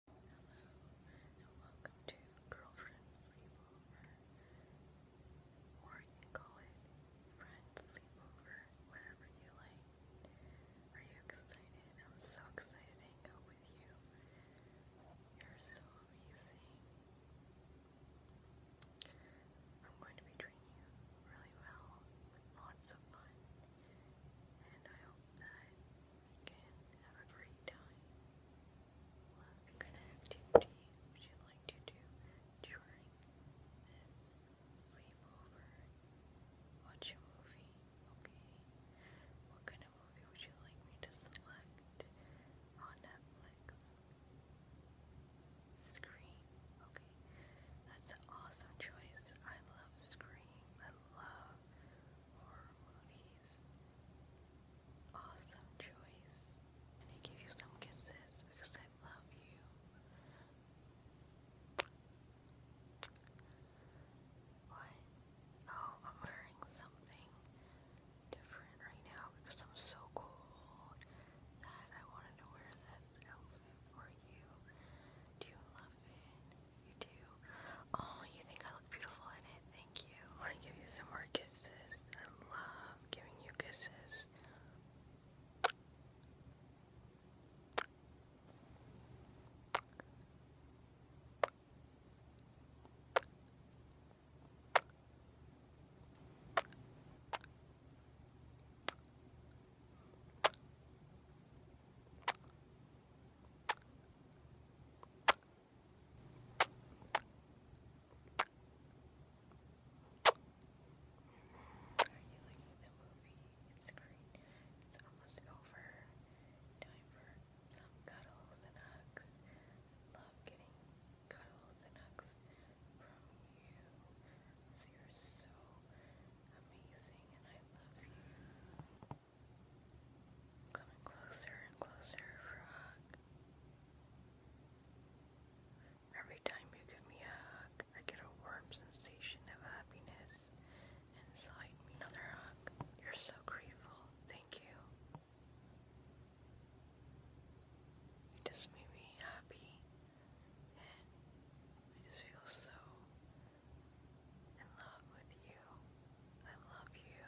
Hello and welcome to Girlfriend Sleepover. Or you can call it Friend Sleepover, whatever you like. Are you excited? I'm so excited to hang out with you. You're so amazing. I'm going to be treating you really well lots of fun. And I hope that Again, have a great time. Well, a good activity which you like to do during sleepover. Watch a movie, okay? What kind of movie would you like me to select on Netflix? Scream, okay. That's an awesome choice. I love Scream. I love horror movies. Awesome choice. And I give you some kisses because I love you. What? Oh, I'm wearing something different right now because I'm so cold that I wanted to wear this outfit for you. Do you love it? You do. Oh, you think I look beautiful in it? Thank you. want to give you some more kisses. I love giving you kisses. It's great. It's almost over. Time for some cuddles and hugs. I love getting cuddles and hugs from you you you're so amazing and I love you. Coming closer and closer, frog. Every time you give me a hug, I get a warm sensation of happiness inside me. Another hug. You're so grateful. Thank you. You just made me happy. I just feel so in love with you. I love you.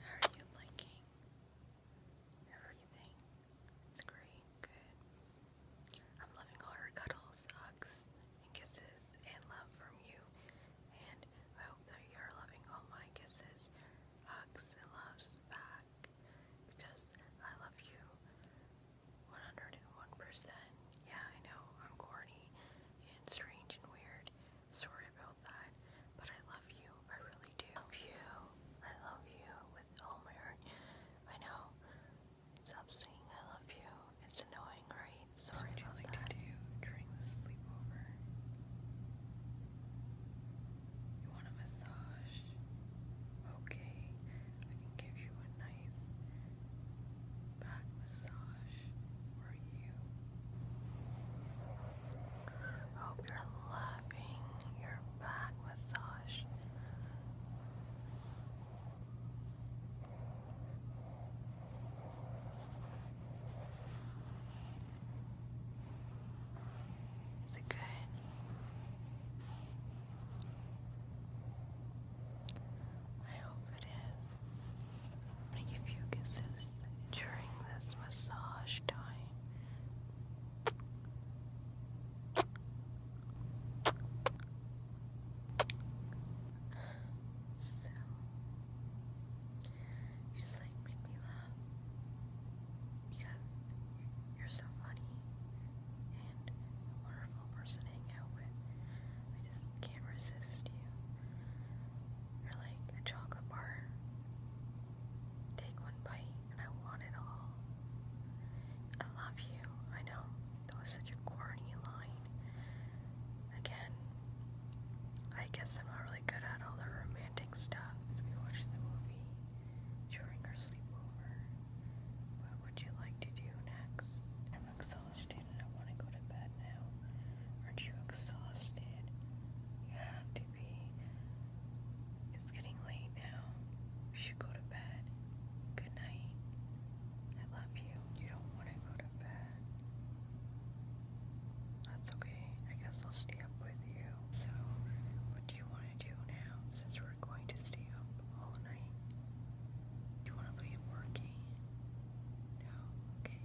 How are you liking everything? It's great, good. I'm loving all her cuddles, hugs, and kisses, and love from you. And I hope that you are loving all my kisses, hugs, and loves back. Because I love you 101%. Yeah, I know I'm corny and strange and weird. Sorry about that. But I love you. I really I love you. I love you with all my heart. I know. Stop saying I love you. It's annoying, right? Sorry what about you like to do during the sleepover? You want a massage? Okay. I can give you a nice back massage for you. Hope you're loving your back massage. Is it good? I hope it is. Make a few kisses during this massage time. So, you just like make me laugh because you're so funny and a wonderful person to hang out with. I just can't resist you or like a chocolate bar. Take one bite and I want it all. I love you, I know. That was such a corny line. Again, I guess I'm not really good at all the romantic stuff. We watched the movie during our sleepover. What would you like to do next? I'm exhausted. I want to go to bed now. Aren't you exhausted? You have to be. It's getting late now. You should go to bed. Good night. I love you. You don't want to go to bed. That's okay. I guess I'll stay up with you. So, what do you want to do now since we're going to stay up all night? Do you want to leave working? No? Okay.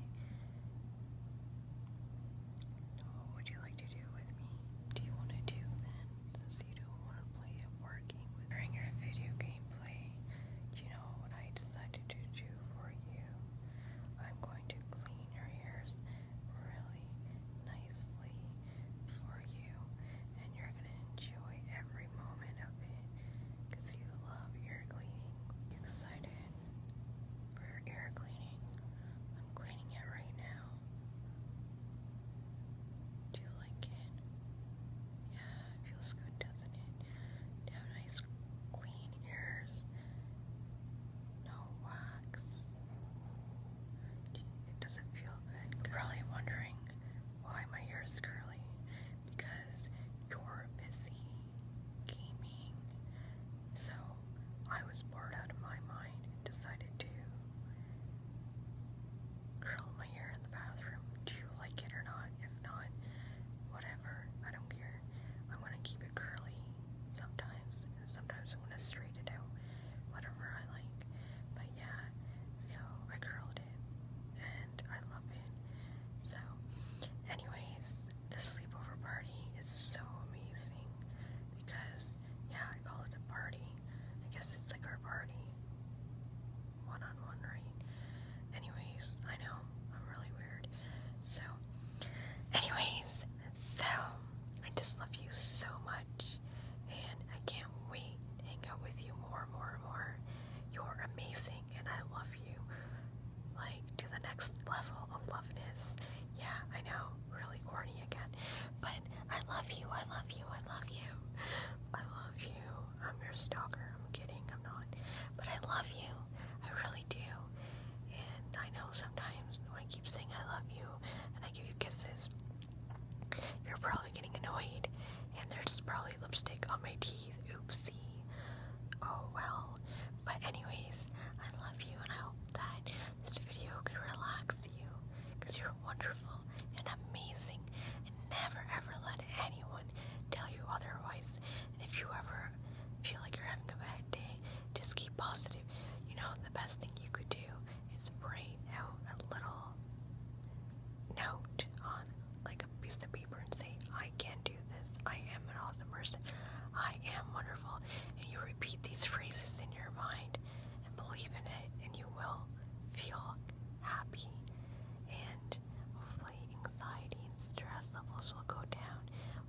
Oh, what would you like to do with me? Do you want to do then? Since you don't want to play at working during your video gameplay, do you know what I decided to do for you? I'm going to clean your ears really nicely for you, and you're going to enjoy every moment of it because you love ear cleaning. excited for ear cleaning. I'm cleaning it right now. Do you like it? Yeah, feels good, doesn't it? have nice clean ears. No wax. It doesn't feel good. I'm really wondering why my hair is curly because you're busy gaming. So I was bored out of my mind and decided to curl my hair in the bathroom. Do you like it or not? If not, whatever. I don't care. I want to keep it curly sometimes, sometimes I want to straighten it out. Whatever I like. But yeah, so I curled and I love it. So, anyways, the sleepover party is so amazing because, yeah, I call it a party. I guess it's like our party, one on one, right? Anyways, I know I'm really weird. So, anyways, so I just love you so much, and I can't. We hang out with you more and more and more. You're amazing and I love you. Like to the next level of loveness. Yeah, I know, really corny again. But I love you, I love you, I love you. I love you. I'm your stalker. I'm kidding, I'm not. But I love you. I really do. And I know sometimes when I keep saying I love you and I give you kisses, you're probably getting annoyed, and there's probably lipstick on my teeth. Oopsie. Oh well. But, anyways, I love you, and I hope that this video could relax you because you're wonderful and amazing, and never ever let anyone tell you otherwise. And if you ever feel like you're having a bad day, just keep positive. You know, the best thing you could do is write out a little note on like a piece of paper and say, I can do this. I am an awesome person. I am wonderful. And you repeat these phrases in your mind and believe in it, and you will feel happy. And hopefully, anxiety and stress levels will go down.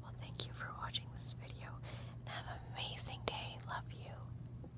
Well, thank you for watching this video have amazing day. Love you.